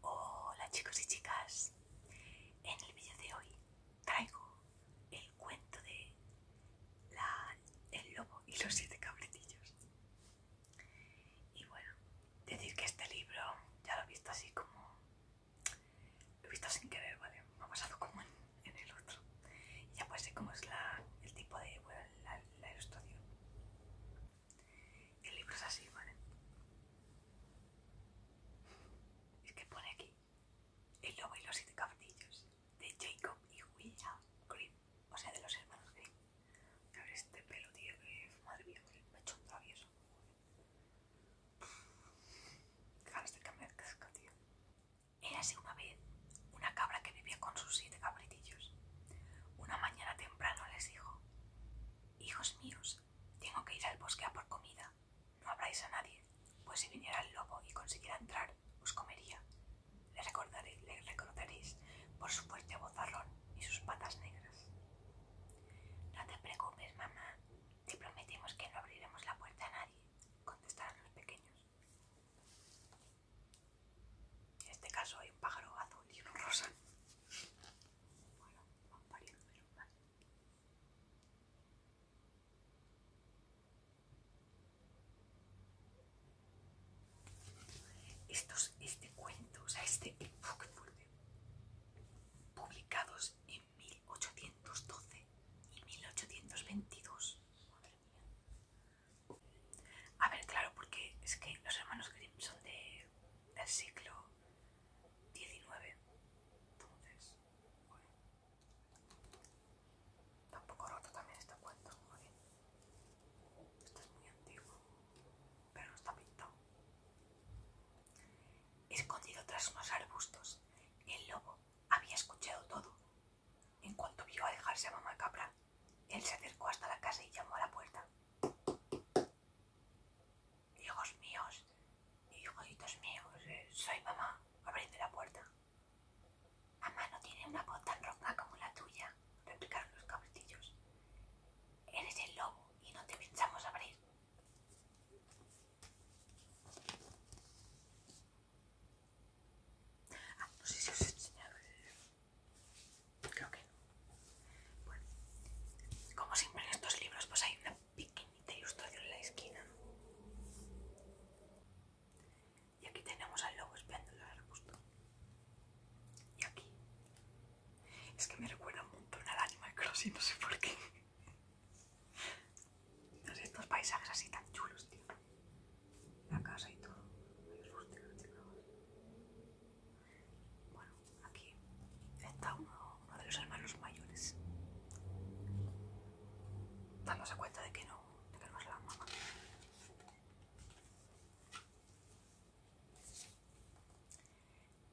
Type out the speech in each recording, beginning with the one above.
Hola chicos y chicas, en el vídeo de hoy traigo el cuento de la, el lobo y los siete cabritillos. Y bueno, decir que este libro ya lo he visto así como... Lo he visto sin querer, ¿vale? Me ha pasado como en, el otro. ya pues ser como es la, el tipo de... Bueno, la, la ilustración. El libro es así, ¿vale? Es que pone aquí El lobo y los siete caballos de Jacob y William Green. o sea, de los hermanos Green. A ver este pelo, tío, que madre mía, me ha hecho un travieso. Era una vez una cabra que vivía con sus siete cabritillos. Una mañana temprano les dijo: Hijos míos, tengo que ir al bosque a por comida. No habráis a nadie, pues si viniera el lobo y consiguiera entrar, os comería. Le, recordaré, le recordaréis por su fuerte bozarrón y sus patas negras. No te preocupes, mamá. Te prometimos que no abriremos la puerta a nadie, contestaron los pequeños. En este caso hay un pájaro azul y uno rosa. Bueno, Estos, este cuento, o este publicados en 1812 y 1822. A ver, claro, porque es que los hermanos Grimm son de, del siglo XIX. Entonces, Tampoco roto también este cuento, Esto es muy antiguo, pero no está pintado. Escondido tras unos arbustos, el lobo había escuchado todo. En cuanto vio alejarse a mamá Capra, él se acercó hasta la casa y llamó a la puerta. Hijos míos, hijos míos, eh, soy mamá, Abre la puerta. Mamá no tiene una voz tan ronca como la tuya, replicaron los cabritillos. Eres el lobo y no te pensamos abrir. Ah, no sé si os he enseñado el... Creo que no. Bueno, como siempre en estos libros, pues hay una pequeñita ilustración en la esquina. Y aquí tenemos al lobo Espéndulo el arbusto. Y aquí es que me recuerda un montón al Animal Crossing, no sé por qué. No estos paisajes así tan chulos, tío. La casa y todo. Bueno, aquí está uno, de los hermanos mayores. Dándose cuenta de que de que no es la mamá.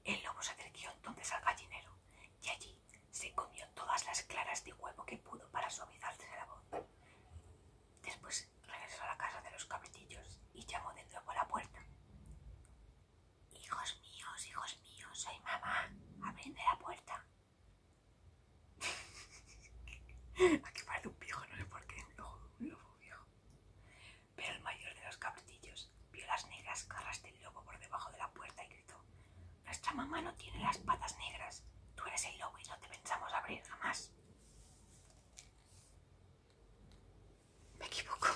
El lobo se donde entonces al gallinero y allí se comió todas las claras de huevo que pudo para suavizarse la voz. Después regresó a la casa de los cabritillos y llamó de nuevo a la puerta. Hijos míos, hijos míos, soy mamá. Abrende la puerta. Aquí parece un viejo, no sé por qué. un lobo viejo. Pero el mayor de los cabritillos vio las negras garras del lobo por debajo de la puerta y gritó: Nuestra mamá no tiene las patas negras. Tú eres el lobo y no te pensamos abrir jamás. Me equivoco.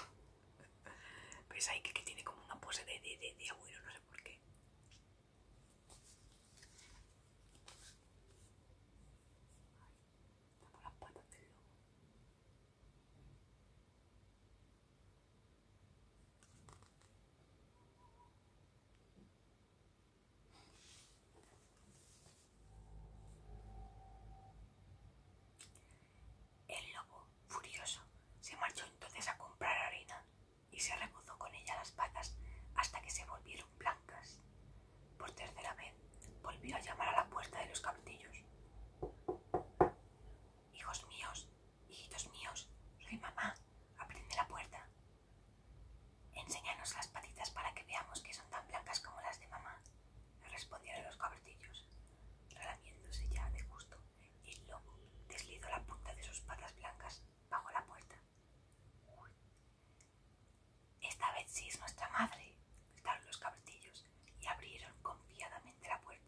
Pues hay que, tiene como una pose de, de, de, de abuelo, no sé por qué. las patas del lobo. El lobo, furioso, se marchó entonces a comprar harina y se rebozó con ella las patas hasta que se volvieron blancas. Por tercera vez volvió a llamar a la puerta de los castillos. Hijos míos, hijitos míos, soy mamá, aprende la puerta. Enséñanos las patitas para que veamos que son tan blancas como las de mamá, respondieron los cabritillos, relamiéndose ya de gusto, y luego deslizó la punta de sus patas blancas bajo la puerta. Esta vez sí es nuestra madre, gritaron los cabritillos y abrieron confiadamente la puerta.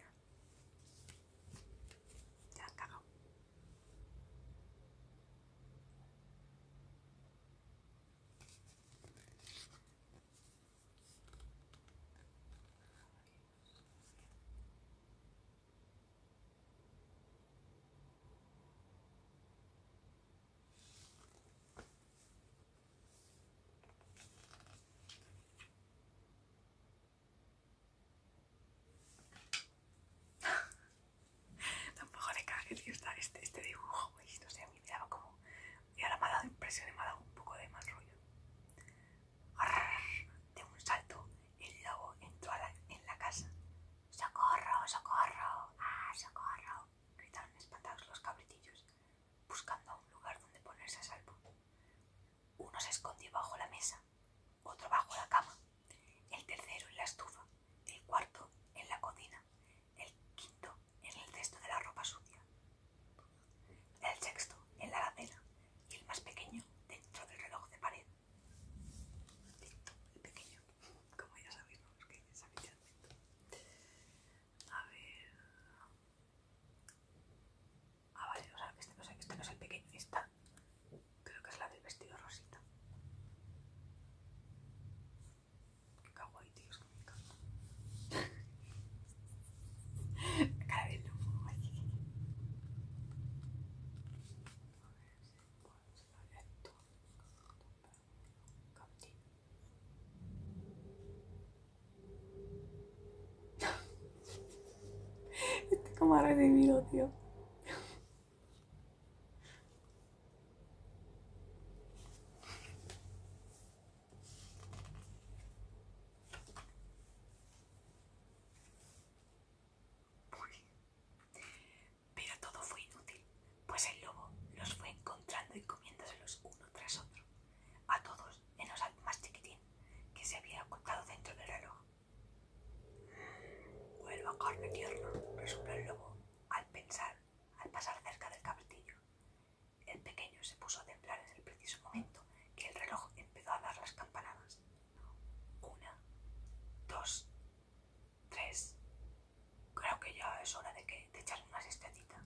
Tampoco de cague, tío, está este, este dibujo, pues, No sé, me como. Y ahora me ha dado impresión y me ha dado un poco de mal rollo. De un salto, el lobo entró en la casa. ¡Socorro, socorro! ¡Ah, socorro! Gritaron espantados los cabritillos buscando un lugar donde ponerse a salvo. Uno se escondió bajo la mesa, otro bajo la cama, el tercero en la estufa, el cuarto en la cocina, el quinto en el cesto de la ropa sucia, el sexto en la alacena y el más pequeño dentro del reloj de pared. el pequeño, como ya sabíamos A ver. Ah, vale, o sea, que este no, es, este no el pequeño, esta creo que es la del vestido rosita. Qué kawaii, tío, es que me encanta. Cara de lobo, A ver si puedo este como ha revivido, tío. Pero todo fue inútil, pues el lobo los fue encontrando y comiéndoselos uno tras otro a todos en al más chiquitín que se había ocultado dentro del reloj. Vuelvo a carne tierna, resopló el lobo al pensar, al pasar cerca del cabritillo. El pequeño se puso a temblar en el preciso momento que el reloj empezó a dar las campanadas. Una, dos, tres. Creo que ya es hora de que te echar una estetita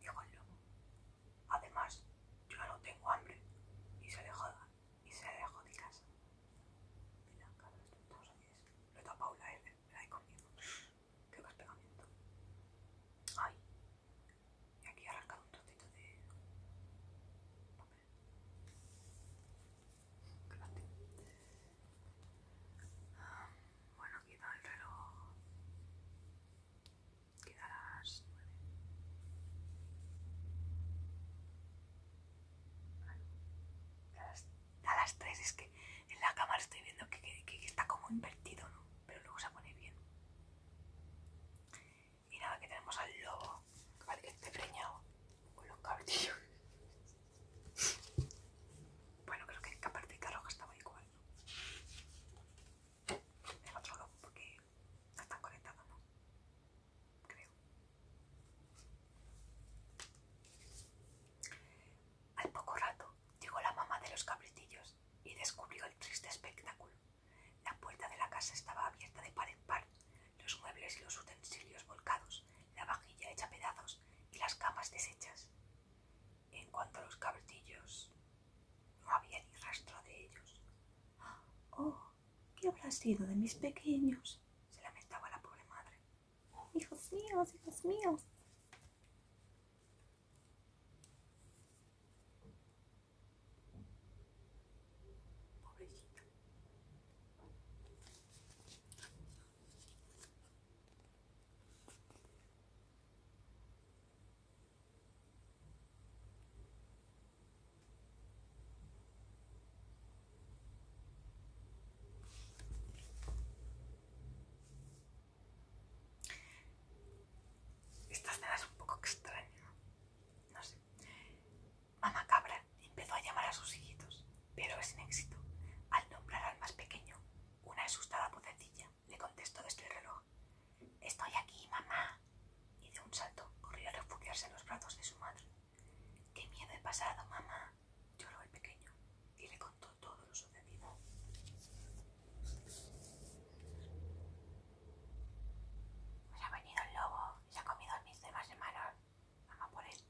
dijo el lobo. Además, yo ya no tengo hambre y se le joda, y se le dejó de casa. Mira, cada es. estamos Lo he tapado la me la he comido. Creo que es pegamento. Ay. Y aquí he arrancado un trocito de papel. aquí ah, Bueno, está el reloj queda a las 9. A las, 3 es que en la cámara estoy viendo que, está como invertido, Pero luego se pone bien. Y nada, que tenemos al lobo, vale, que esté preñado con los cabrillos. bueno, creo que en carro Roja estaba igual, ¿no? el otro porque no ¿no? Creo. Al poco rato llegó la mamá de los cabritillos y descubrió el triste espectáculo. La puerta de la casa estaba abierta de par en par, los muebles y los utensilios volcados, la vajilla hecha pedazos y las camas deshechas. En cuanto a los cabritillos, no había ni rastro de ellos. ¡Ah! ¡Oh! ¿Qué habrá sido de mis pequeños? se lamentaba la pobre madre. ¡Oh, ¡Hijos míos, hijos míos! Pobrecito. Esta escena un poco extraña, no sé. Mamá Cabra empezó a llamar a sus hijitos, pero sin éxito. Al nombrar al más pequeño, una asustada vocecilla le contestó desde el reloj. Estoy aquí, mamá. Y de un salto corrió a refugiarse en los brazos de su madre. Qué miedo he pasado, mamá. lloró el pequeño y le contó todo lo sucedido. Pues ha venido el lobo y se ha comido a mis demás hermanos. Mamá por él.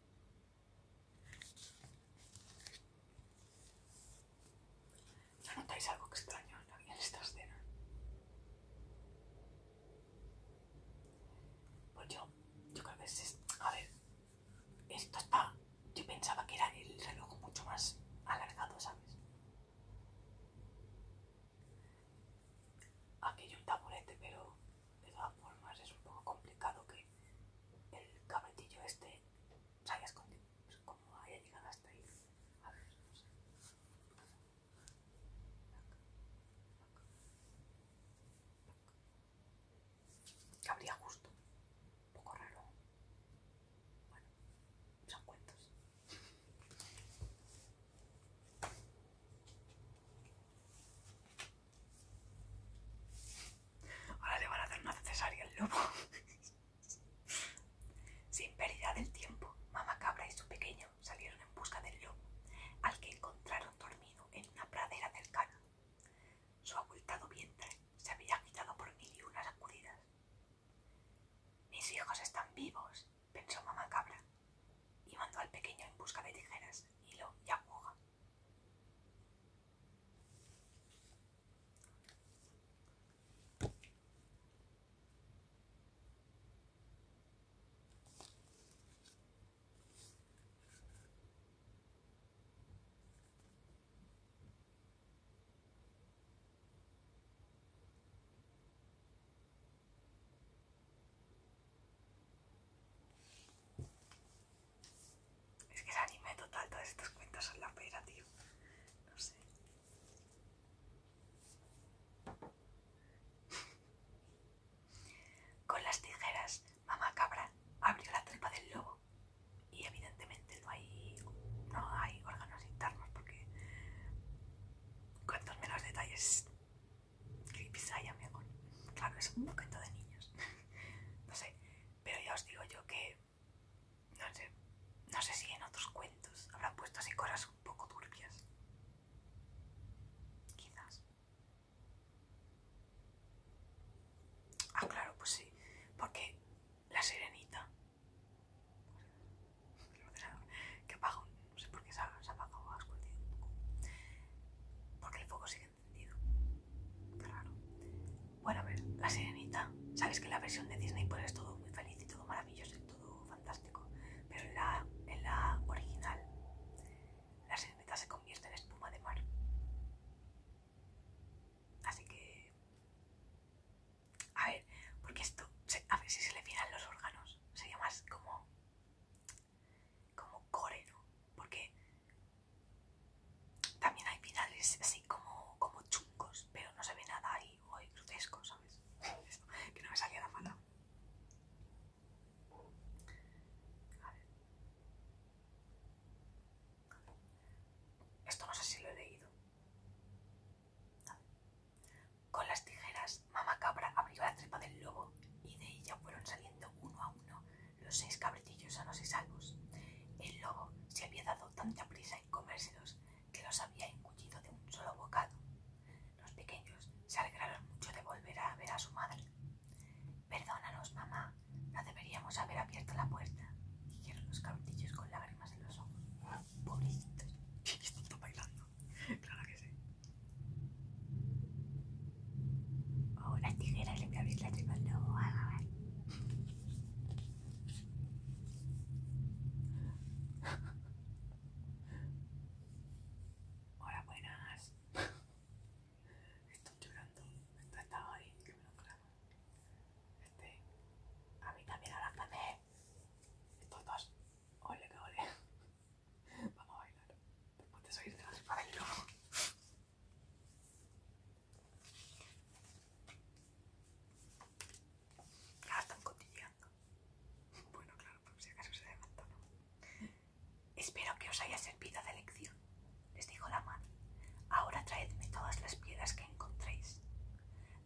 ¿No notáis algo extraño en esta escena? Pues yo, yo creo que es... A ver, esto está... Yo pensaba que era el reloj mucho más alargado, ¿sabes? Aquí hay un taburete, pero de todas formas es un poco complicado que el cabretillo este se haya escondido, como haya llegado hasta ahí. A ver, no sé. Cabría justo. Un poco raro. Bueno, son cuentos. Ahora le van a dar una cesárea al lobo. Sin pérdida del tiempo, Mamá Cabra y su pequeño salieron en busca del lobo, al que encontraron dormido en una pradera cercana. Su abultado vientre se había agitado por mil y unas sacudidas. Mis hijos están vivos, pensó Mamá Cabra, y mandó al pequeño en busca de tijeras, hilo y aguja. Es que el anime total, todas estas cuentas son la pera, tío. No sé. Con las tijeras, mamá cabra abrió la tripa del lobo y evidentemente no hay, no hay órganos internos porque cuantos menos detalles creepy hay, amigo. Claro, es un cuento de niños. no sé, pero ya os digo yo que no sé, no sé si en otros cuentos habrá puesto así cosas un poco turbias. Quizás. Ah, claro, pues sí. Porque la sirenita. que apaga, no sé por qué se ha, se ha ha escondido un poco. Porque el fuego sigue encendido. Claro. Bueno, a ver, la sirenita. Sabes que la versión de Disney pues es todo muy feliz y todo maravilloso y todo fantástico. Pero en la, la original, la sirenita se convierte en espuma de mar. Así que... A ver, porque esto, a ver si se le fijan los órganos, sería más como... como core, Porque también hay finales así como, como chuncos pero no se ve nada ahí, hoy grotesco, ¿sabes? que no me salía la Esto no sé si lo he leído. Con las tijeras, Mamá Cabra abrió la trepa del lobo y de ella fueron saliendo uno a uno los seis cabritillos sanos y salvos. El lobo se había dado tanta prisa en comérselos que los había engullido de un solo bocado. Los pequeños se alegraron mucho de volver a ver a su madre. Perdónanos, mamá, no deberíamos haber abierto la puerta, dijeron los cautillos con lágrimas en los ojos. Pobrecitos. Están bailando. Claro que sí. Oh, las tijeras le voy a abrir la tripa. a Hola, buenas. Estoy llorando. Esto está ahí, que me lo clavo. Este, a mí también abrázame. Estos dos. Ole, que ole. Vamos a bailar. Después de salir de la Ah, están Bueno, claro, por si acaso se Espero que os haya servido de lección, les dijo la madre. Ahora traedme todas las piedras que encontréis.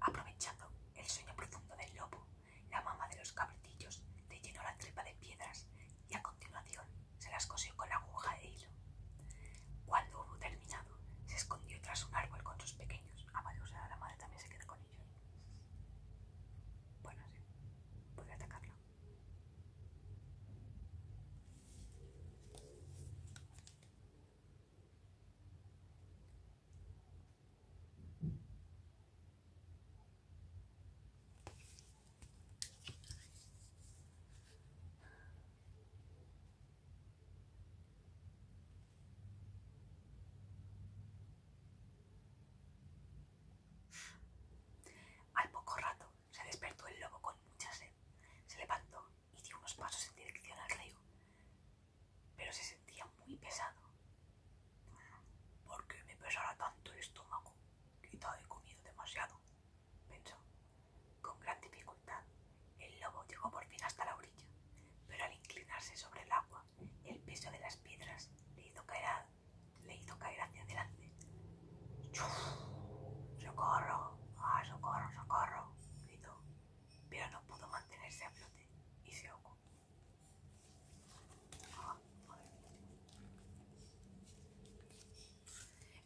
Aprovechando el sueño profundo del lobo, la mamá de los cabritillos le llenó la trepa de piedras y a continuación se las cosió con la aguja de hilo. Cuando hubo terminado, se escondió tras un árbol con sus pequeños. A o sea, la madre también se queda con ellos. Bueno, sí. Puede atacarlo. Al poco rato se despertó el lobo con mucha sed, se levantó y dio unos pasos en dirección al río, pero se sentía muy pesado. ¿Por qué me pesará tanto el estómago? Quizá he comido demasiado, pensó. Con gran dificultad, el lobo llegó por fin hasta la orilla, pero al inclinarse sobre el agua, el peso de las piedras le hizo caer, caer hacia adelante. ¡Socorro! ¡Ah, socorro, socorro! gritó, pero no pudo mantenerse a flote y se ahogó. Ah,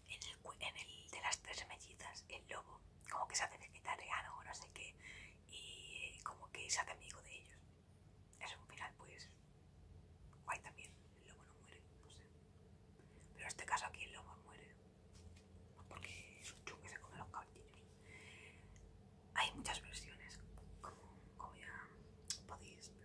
en, el, en el de las tres mellizas, el lobo como que se hace vegetariano o no sé qué, y como que se hace amigo de ellos. Es un final, pues, guay también. El lobo no muere, no sé. Pero en este caso aquí el lobo muere, porque es un que se come los caballitos. Hay muchas versiones, como, como ya podéis ver.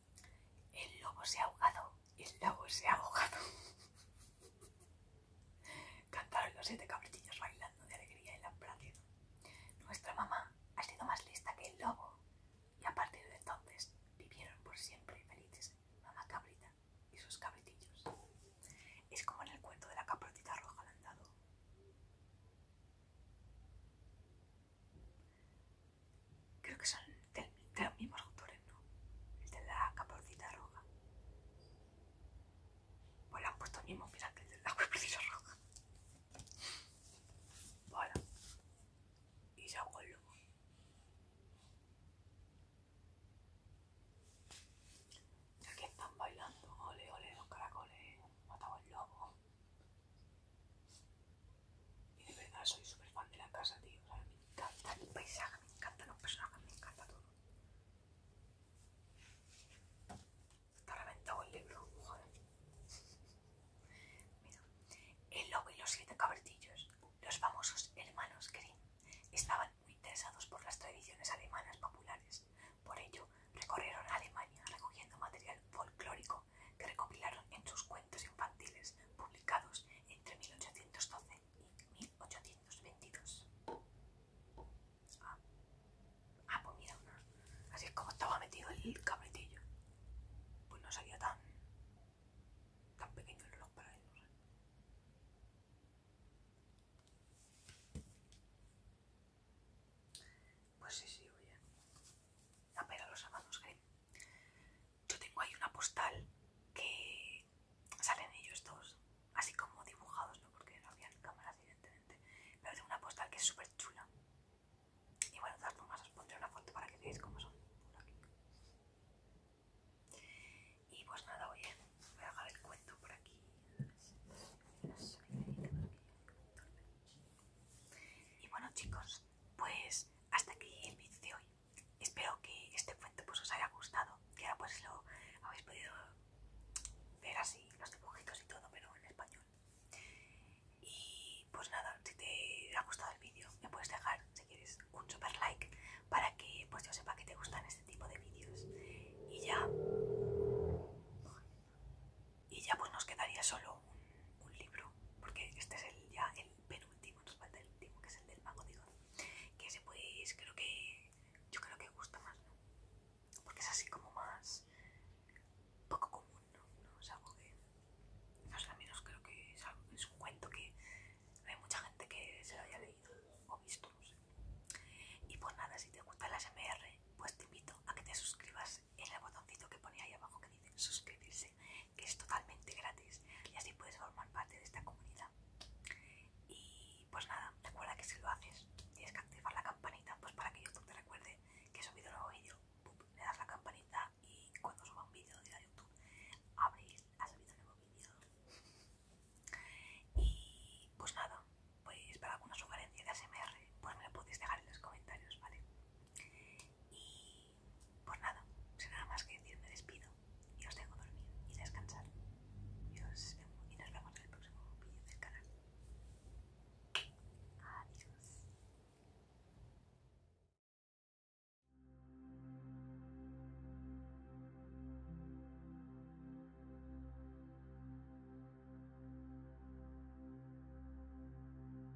El lobo se ha ahogado, el lobo se ha ahogado. Cantaron los siete cabritillos bailando de alegría en la pradera. Nuestra mamá ha sido más lista que el lobo. Y a partir de entonces vivieron por siempre felices mamá cabrita y sus cabritillos. Es como en el cuento de la caprotita roja al andado. Creo que son de los mismos autores, ¿eh? ¿no? El de la caporcita roja. Pues han puesto el mismo mirad, que el de la caporcita roja. Bueno. Y se con el lobo. aquí están bailando, ole, ole, los caracoles, matamos el lobo. Y de verdad soy súper fan de la casa, tío. me encanta el paisaje, me encanta los personajes, me encanta todo. Está reventado el libro, Mira, el lobo y los siete cabertillos, los famosos hermanos Grimm, estaban muy interesados por las tradiciones alemanas populares. Por ello, recorrieron Alemania recogiendo material folclórico que recopilaron en sus cuentos infantiles publicados entre 1812 y 1822. Ah. ah, pues mira, así es como estaba metido el cabretillo. Pues no salía tan, tan pequeño el reloj para él. Pues sí, sí, oye. apenas ah, los amados que yo tengo ahí una postal que salen ellos dos, así como dibujados, ¿no? Porque no había cámaras, evidentemente. Pero tengo una postal que es súper chula. Y bueno, de todas os pondré una foto para que veáis cómo son. Y pues nada, oye, voy a dejar el cuento por aquí. Y bueno chicos, pues hasta aquí el vídeo de hoy. Espero que este cuento pues os haya gustado, que ahora pues lo habéis podido ver así, los dibujitos y todo, pero en español. Y pues nada, si te ha gustado el vídeo, me puedes dejar, si quieres, un super like para que pues yo sepa que te gustan este tipo de vídeos. Y ya... Y ya pues nos quedaría solo un, libro, porque este es el, ya el penúltimo, nos falta el último, que es el del mago digo, Que ese pues creo que yo creo que gusta más, Porque es así como más poco común, ¿no? ¿No? Es algo que, no sé, al menos creo que es, un cuento que hay mucha gente que se lo haya leído o visto, no sé. Y pues nada, si te gusta el SMR, pues te invito a que te suscribas en el botoncito que pone ahí abajo que dice suscribirse, que es totalmente gratis y así puedes formar parte de esta comunidad. Y pues nada, recuerda que si lo haces tienes que activar la campanita pues para que YouTube te recuerde que he subido un nuevo vídeo, le das la campanita y cuando suba un vídeo de YouTube abres ha subido un nuevo vídeo. Y pues nada, pues para alguna sugerencia de ASMR pues me lo podéis dejar en los comentarios, ¿vale? Y por nada, sin nada más que decir me despido y os dejo dormir y descansar. y nos vemos en el próximo vídeo del canal. Adiós.